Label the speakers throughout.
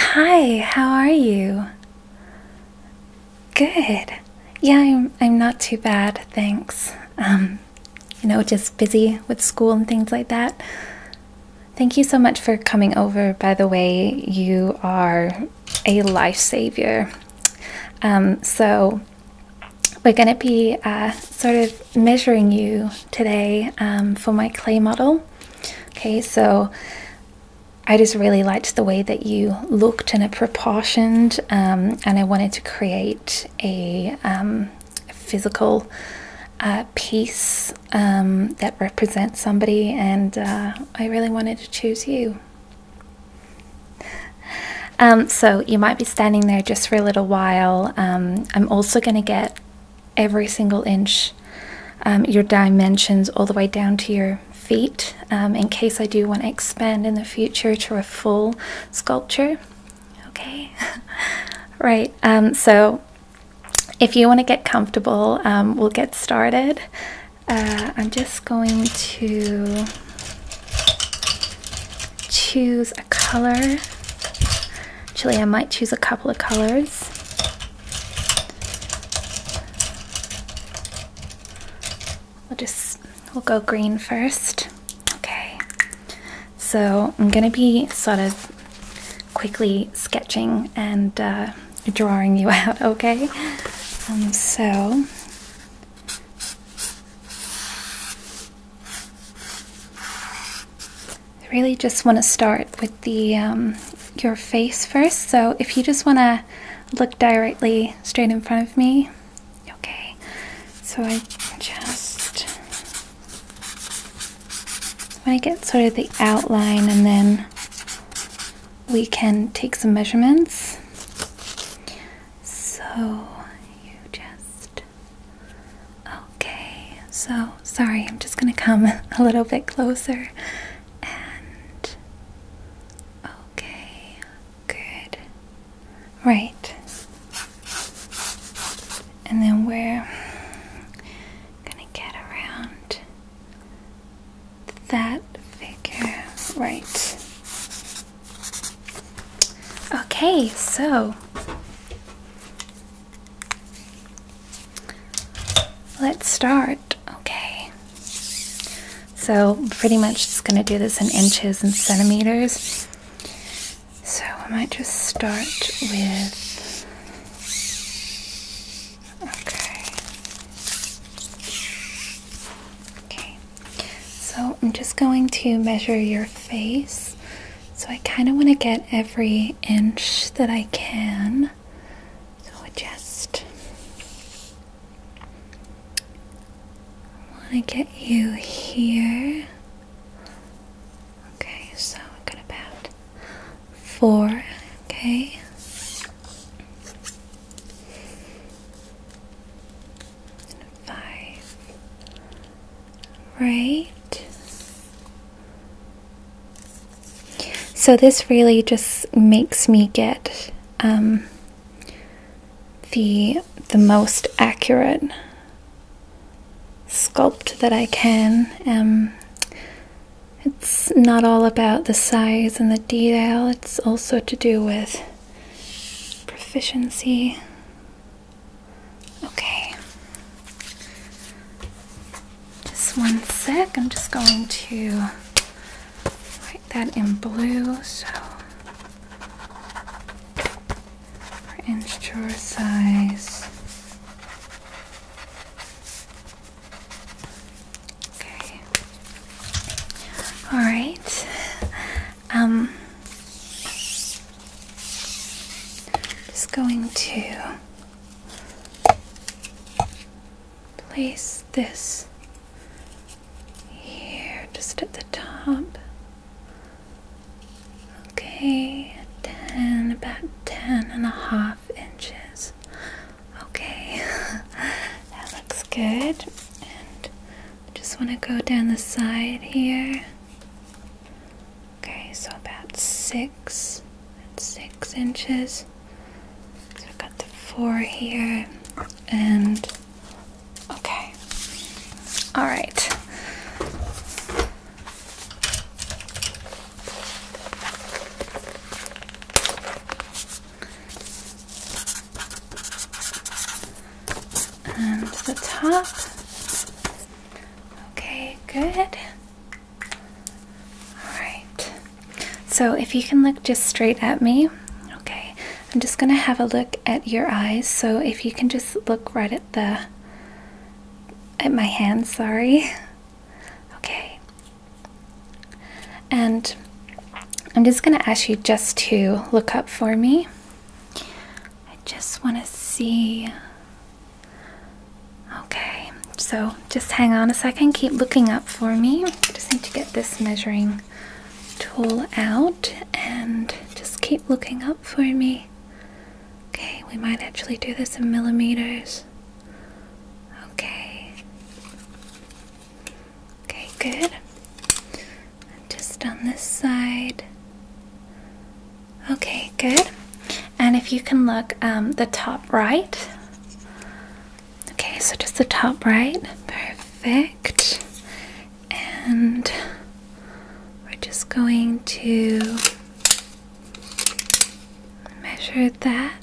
Speaker 1: Hi, how are you? Good. Yeah, I'm I'm not too bad, thanks. Um, you know, just busy with school and things like that. Thank you so much for coming over. By the way, you are a lifesaver. Um, so we're going to be uh, sort of measuring you today um, for my clay model. Okay, so I just really liked the way that you looked and it proportioned, um, and I wanted to create a um, physical uh, piece um, that represents somebody, and uh, I really wanted to choose you. so you might be standing there just for a little while. I'm also going to get every single inch, um, your dimensions, all the way down to your feet, um, in case I do want to expand in the future to a full sculpture. Okay, right. Um, so if you want to get comfortable, we'll get started. Uh, I'm just going to choose a color. Actually, I might choose a couple of colors. We'll just, we'll go green first. Okay. So I'm going to be sort of quickly sketching and uh, drawing you out, okay? Um, so I really just want to start with the um, your face first. So if you just want to look directly straight in front of me, okay. So I just want to get sort of the outline and then we can take some measurements. So you just okay. So sorry, I'm just going to come a little bit closer and okay, good. Right. And then we're gonna get around that figure. Right. Okay, so Let's start. Okay. So, pretty much just going to do this in inches and centimeters. So, I might just start with. Okay. Okay. So, I'm just going to measure your face. So, I kind of want to get every inch that I can. So I just want to get you here. Okay, so i gonna about four. Okay. five. Right. So this really just makes me get um, the the most accurate sculpt that I can. Um, it's not all about the size and the detail, it's also to do with proficiency. Okay. Just one sec. I'm just going to write that in blue so for inch drawer size. Okay. All right. Um, just going to place this here just at the top. Okay, 10, about 10 and a half inches. Okay, that looks good. And just want to go down the side here. Okay, so about six, six inches. So I've got the four here, and okay. All right. And the top. Okay, good. All right. So if you can look just straight at me, okay. I'm just going to have a look at your eyes. So if you can just look right at the at my hand, sorry. Okay. And I'm just going to ask you just to look up for me. I just want to see Okay, so just hang on a second. Keep looking up for me. Just need to get this measuring tool out and just keep looking up for me. Okay, we might actually do this in millimeters. Okay. Okay, good. just on this side. Okay, good. And if you can look um, the top right. Okay, so just the top right. Perfect. And we're just going to measure that.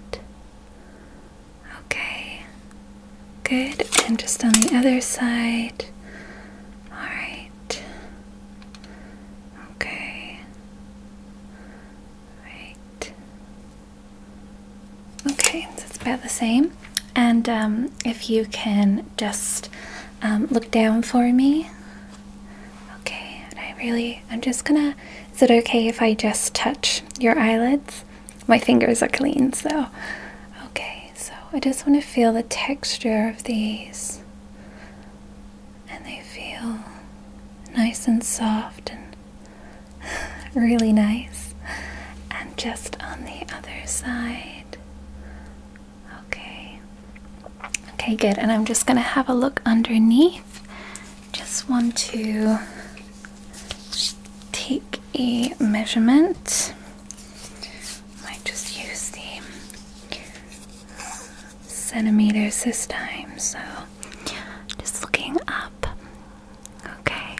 Speaker 1: Okay. Good. And just on the other side. Alright. Okay. Right. Okay, so it's about the same. And um, if you can just um, look down for me. Okay, and I really, I'm just gonna, is it okay if I just touch your eyelids? My fingers are clean, so. Okay, so I just wanna feel the texture of these. And they feel nice and soft and really nice. And just on the other side. Okay. Okay, good. And I'm just going to have a look underneath. Just want to take a measurement. Might just use the centimeters this time. So just looking up. Okay.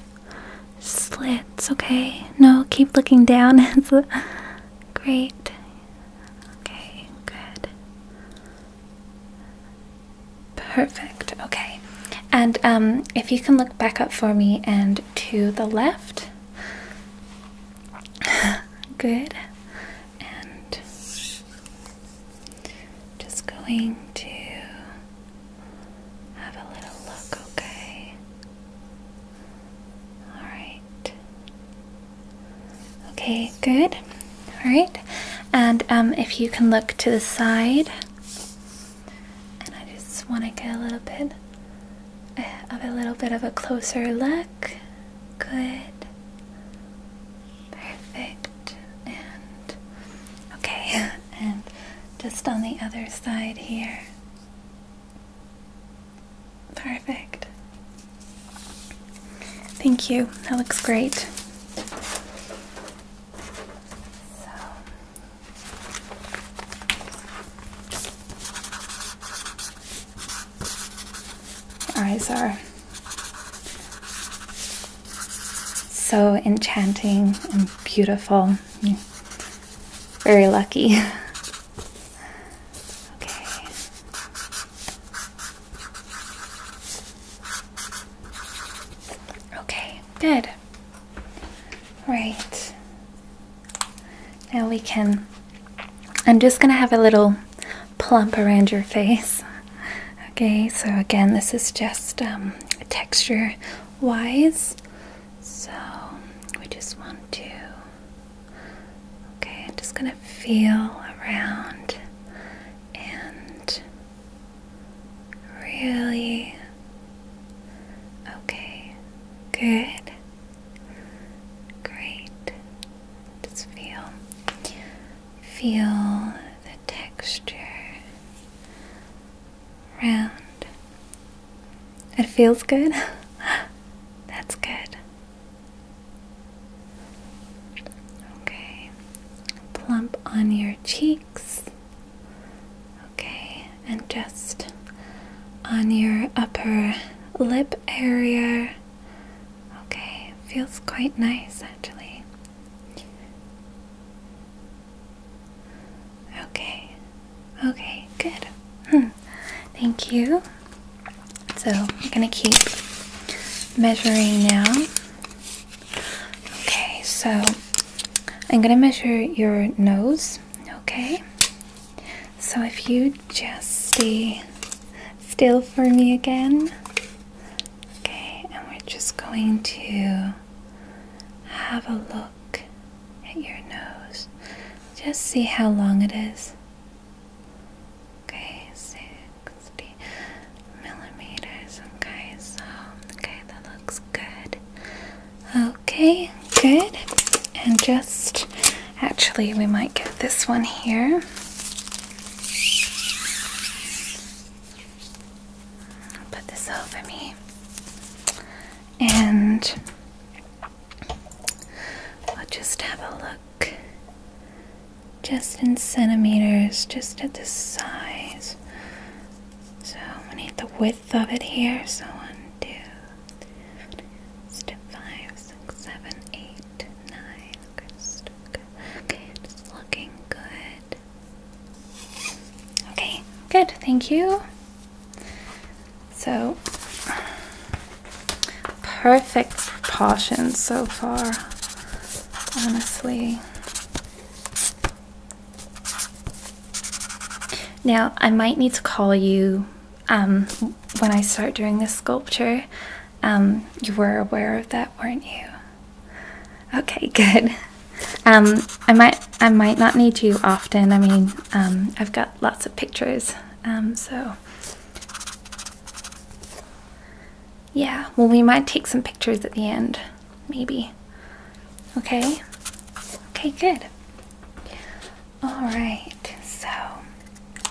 Speaker 1: Slits, okay. No, keep looking down. great. Okay, good. Perfect. Okay. And um, if you can look back up for me and to the left. Good. And just going to have a little look, okay? Alright. Okay, good. Alright. And um, if you can look to the side. And I just want to get a little bit eh, of a little bit of a closer look. Good. Perfect and okay, and just on the other side here. Perfect. Thank you. That looks great. So your eyes are so enchanting and beautiful. Very lucky. okay. Okay, good. Right. Now we can. I'm just gonna have a little plump around your face. Okay, so again, this is just um, texture wise. So we just want to. Okay, I'm just gonna feel around and really. Okay, good. Great. Just feel, feel the texture round. It feels good? That's good. Okay. Plump on your cheeks. Okay, and just on your upper lip area. Okay, feels quite nice actually. Okay, okay, good. Hmm. Thank you. So I'm gonna keep measuring now. Okay, so I'm gonna measure your nose. Okay, so if you just stay still for me again. Okay, and we're just going to have a look at your nose. Just see how long it is. Okay, 60 millimeters. Okay, okay, that looks good. Okay, good. And just actually, we might get this one here. Put this over me. And let's just have a look just in centimeters, just at the size. So I'm gonna need the width of it here. So one, two, three, four, five, six, seven, eight, nine. Okay, just, okay. okay, just looking good. Okay, good, thank you. So, perfect proportions so far, honestly. Now, I might need to call you um, when I start doing this sculpture. Um, you were aware of that, weren't you? Okay, good. Um, I might I might not need you often. I mean, um, I've got lots of pictures. Um, so yeah. Well, we might take some pictures at the end, maybe. Okay. Okay, good. All right. So I'm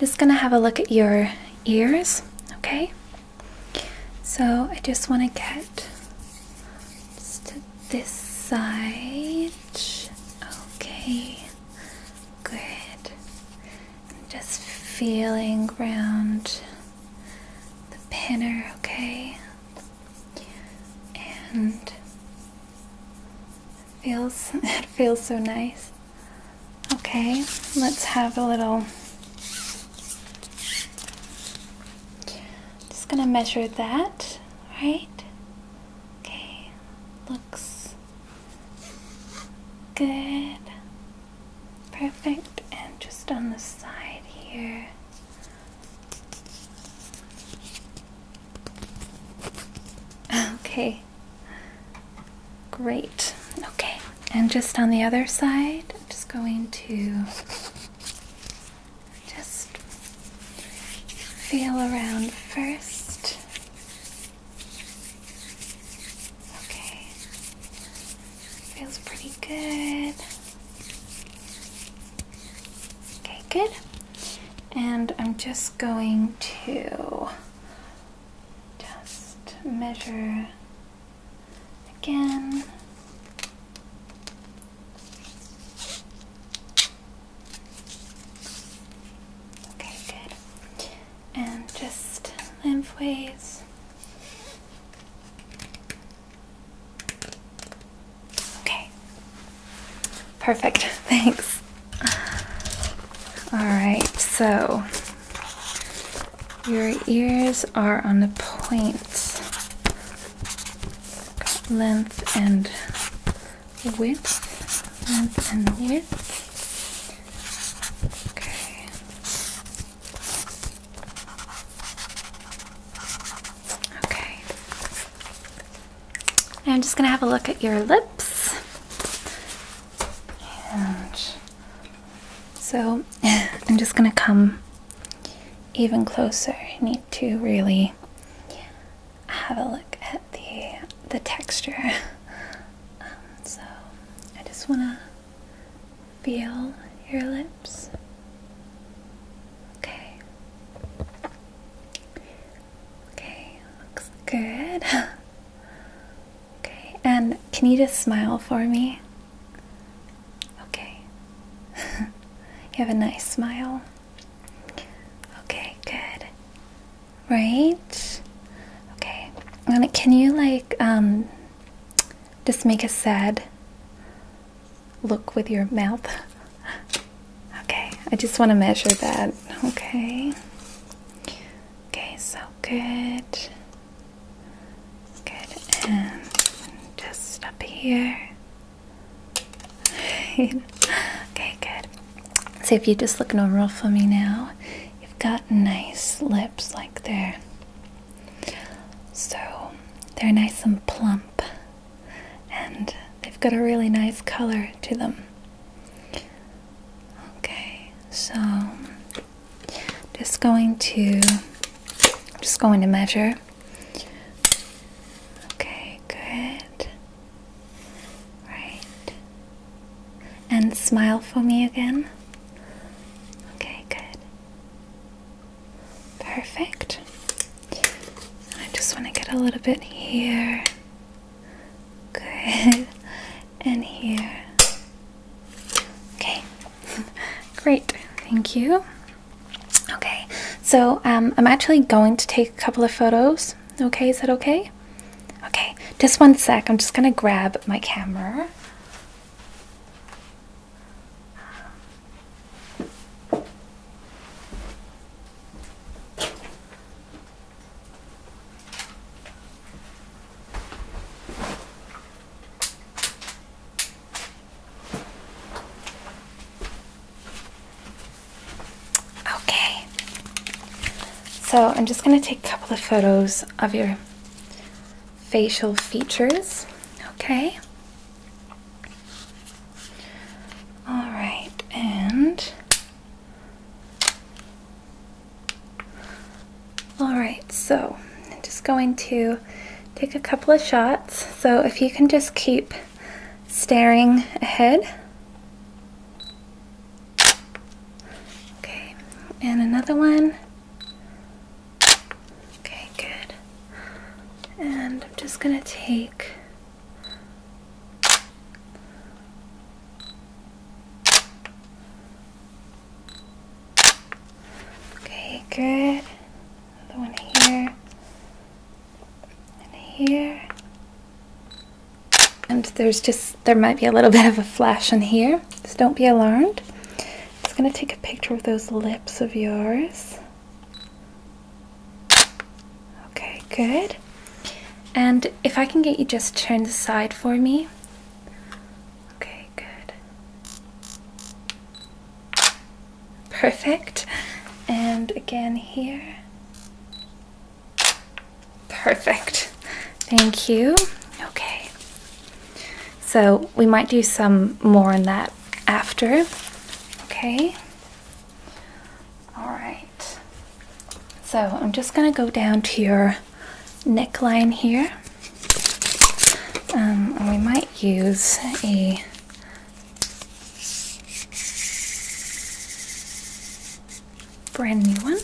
Speaker 1: just gonna have a look at your ears. Okay. So I just want to get to this side. Okay, good. I'm just feeling around the pinner, okay? And it feels it feels so nice. Okay, let's have a little. Just gonna measure that, right? Okay, looks good. Perfect. And just on the side here. Okay. Great. Okay. And just on the other side, I'm just going to just feel around first. Okay. Feels pretty good. Okay, good. And I'm just going to just measure again. Okay, good. And just lengthways. Okay. Perfect. Thanks. All right. So your ears are on the point. length and width. Length and width. Okay. Okay. I'm just going to have a look at your lips. And so I'm just going to come even closer. I need to really have a look at the the texture. Um, so I just want to feel your lips. Okay. Okay, looks good. Okay, and can you just smile for me? Okay. you have a nice smile. Okay, good. Right? Okay. And can you like um just make a sad look with your mouth? okay, I just want to measure that. Okay. Okay, so good. Good, and just up here. okay, good. So if you just look normal for me now, you've got nice lips like there. So they're nice and plump, and they've got a really nice color to them. Okay, so just going to, I'm just going to measure. Okay, good. Right. And smile for me again. Okay, good. Perfect. I just want to get a little bit here. Good and here. Okay, great, thank you. Okay, so um, I'm actually going to take a couple of photos. Okay, is that okay? Okay, just one sec. I'm just gonna grab my camera. Okay, so I'm just going to take a couple of photos of your facial features. Okay. All right, and Alright, so I'm just going to take a couple of shots. So if you can just keep staring ahead. Okay, and another one. Okay, good. And I'm just going to take Okay, good. Another one here. And here. And there's just, there might be a little bit of a flash in here. so don't be alarmed. I'm just going to take a picture of those lips of yours. Okay, good. And if I can get you just turned aside for me. Okay, good. Perfect. And again here. Perfect. Thank you. Okay. So we might do some more on that after. Okay. All right. So I'm just going to go down to your neckline here. Um, we might use a brand new one.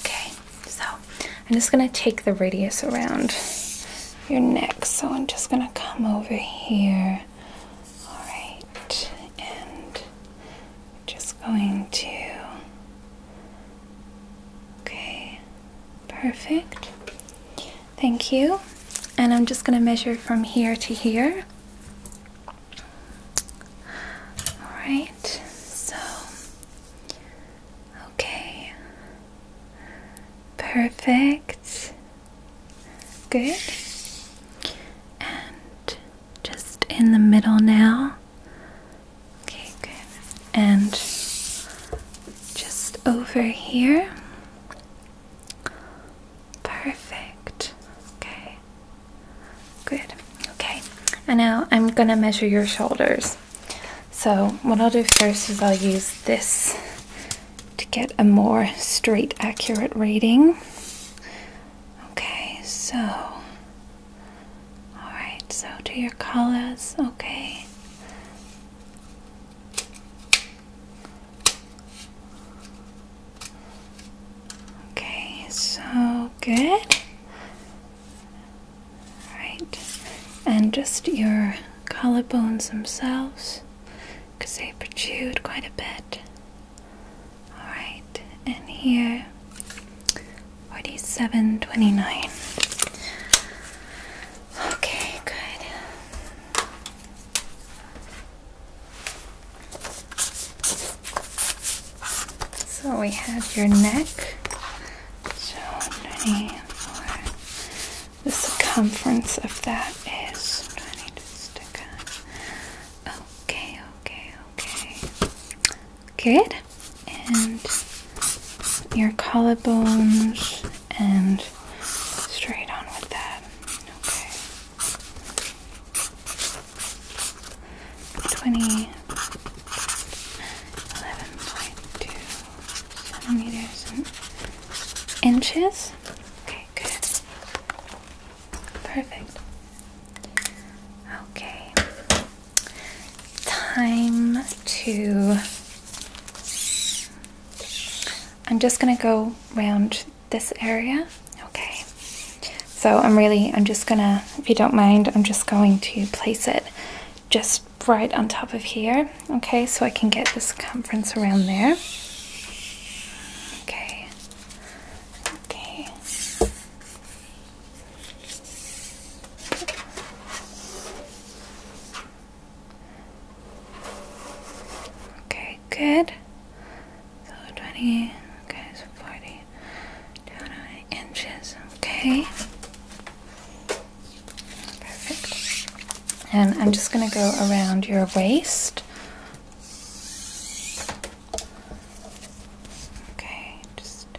Speaker 1: Okay, so I'm just gonna take the radius around your neck. So I'm just gonna come over here. All right, and just going to. Okay. Perfect. Thank you. And I'm just going to measure from here to here. Alright, so. Okay. Perfect. Good. And just in the middle now. Okay, good. And just over here. Perfect. Okay. Good. Okay. And now I'm going to measure your shoulders. So, what I'll do first is I'll use this to get a more straight, accurate reading. Okay, so Alright, so do your colors, okay. Okay, so good. Right, and just your collarbones themselves because they protrude quite a bit. Alright, and here Forty-seven twenty-nine. Okay, good. So we have your neck. So the circumference of that is twenty. okay, okay, okay. Good. And your collarbones and straight on with that. Okay. 20. centimeters inches. Okay, good. Perfect. Okay time to. I'm just gonna go round this area. Okay. So I'm really, I'm just gonna, if you don't mind, I'm just going to place it just right on top of here. Okay, so I can get this circumference around there. Okay. Okay. Okay, good. So 20, okay, 40, down inches, okay. Perfect. And I'm just going to go around your waist. Okay, just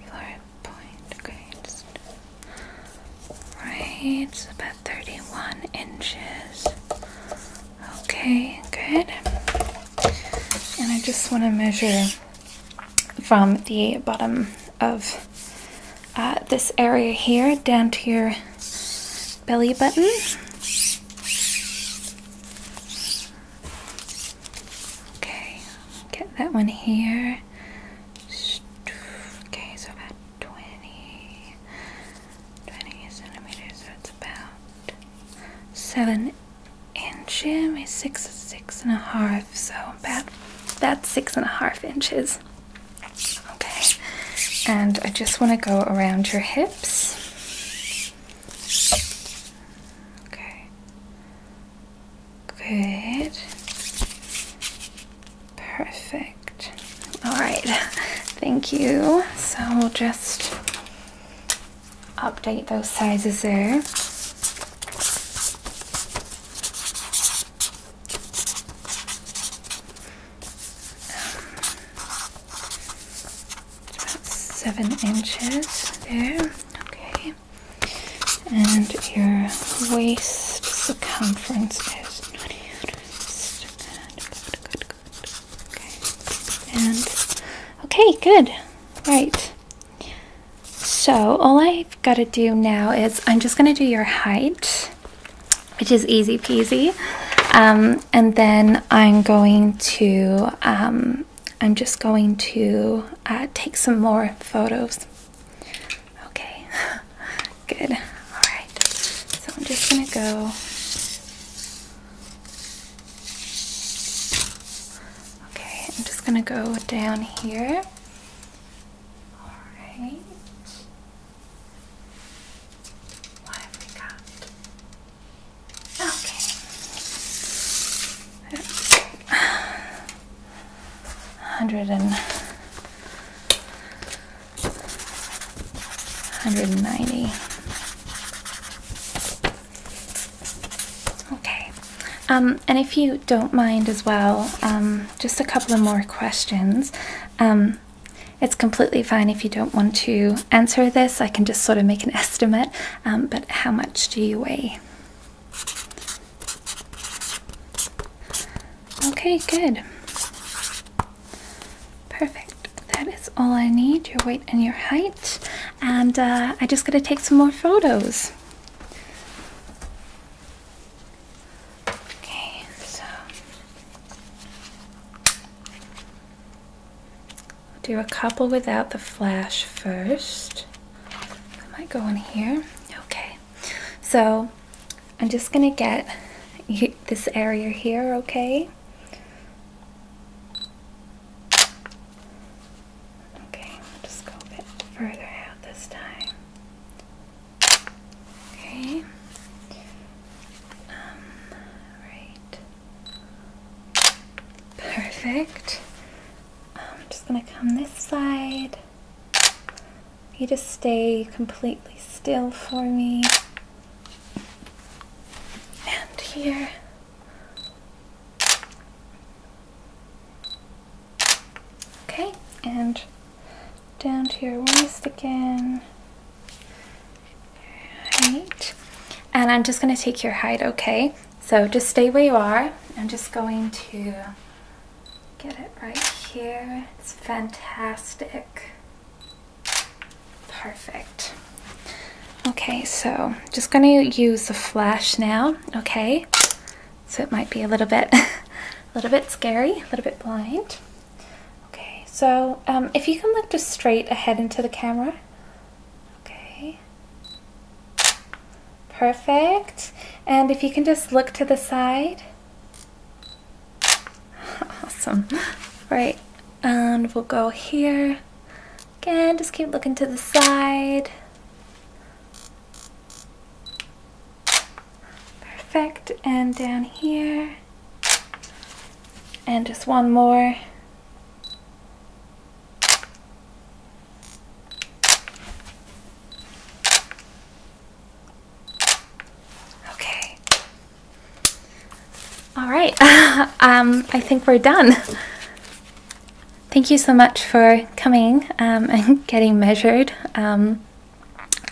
Speaker 1: you point, okay, right, it's about 31 inches. Okay, good. And I just want to measure from the bottom of uh, this area here down to your belly button. Okay, Get that one here. Okay, so about 20, centimeters, so it's about seven inches, six, six and a half, so about, about six and a half inches. Okay, and I just want to go around your hips. Okay, Good. Perfect. All right. Thank you. So we'll just update those sizes there. Um, about seven inches there. Okay. And your waist circumference is 20 units. Good, Okay. And okay, good. Right. So all I've got to do now is I'm just going to do your height, which is easy peasy. Um, and then I'm going to, um, I'm just going to uh, take some more photos. Okay, good. All right, so I'm just gonna go. Okay, I'm just gonna go down here. All right. What have we got? Okay. 100 190 okay um, and if you don't mind as well um, just a couple of more questions um, it's completely fine if you don't want to answer this i can just sort of make an estimate um, but how much do you weigh Okay, good. Perfect. That is all I need your weight and your height. And uh, I just gotta take some more photos. Okay, so. I'll do a couple without the flash first. I might go in here. Okay. So I'm just going to get this area here, okay? Okay, just go a bit further out this time. Okay. Um, right. Perfect. I'm um, just going to come this side. You just stay completely still for me. And here. Okay, and down here your waist again. Right. And I'm just going to take your height, okay? So just stay where you are. I'm just going to Get it right here. It's fantastic. Perfect. Okay, so just going to use the flash now, okay? So it might be a little bit, a little bit scary, a little bit blind. Okay, so um, if you can look just straight ahead into the camera. Okay. Perfect. And if you can just look to the side. Awesome. Right, and we'll go here. Again, just keep looking to the side. Perfect, and down here. And just one more. Okay. All right. Um, I think we're done. Thank you so much for coming um, and getting measured. Um,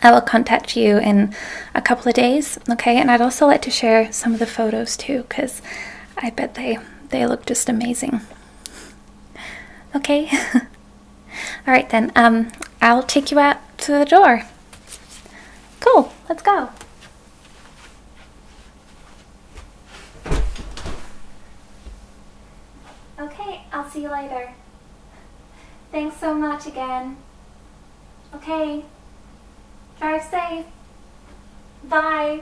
Speaker 1: I will contact you in a couple of days, okay? And I'd also like to share some of the photos too, because I bet they, they look just amazing. Okay? All right, then. Um, I'll take you out to the door. Cool. Let's go. Okay, I'll see you later. Thanks so much again. Okay. Drive safe. Bye.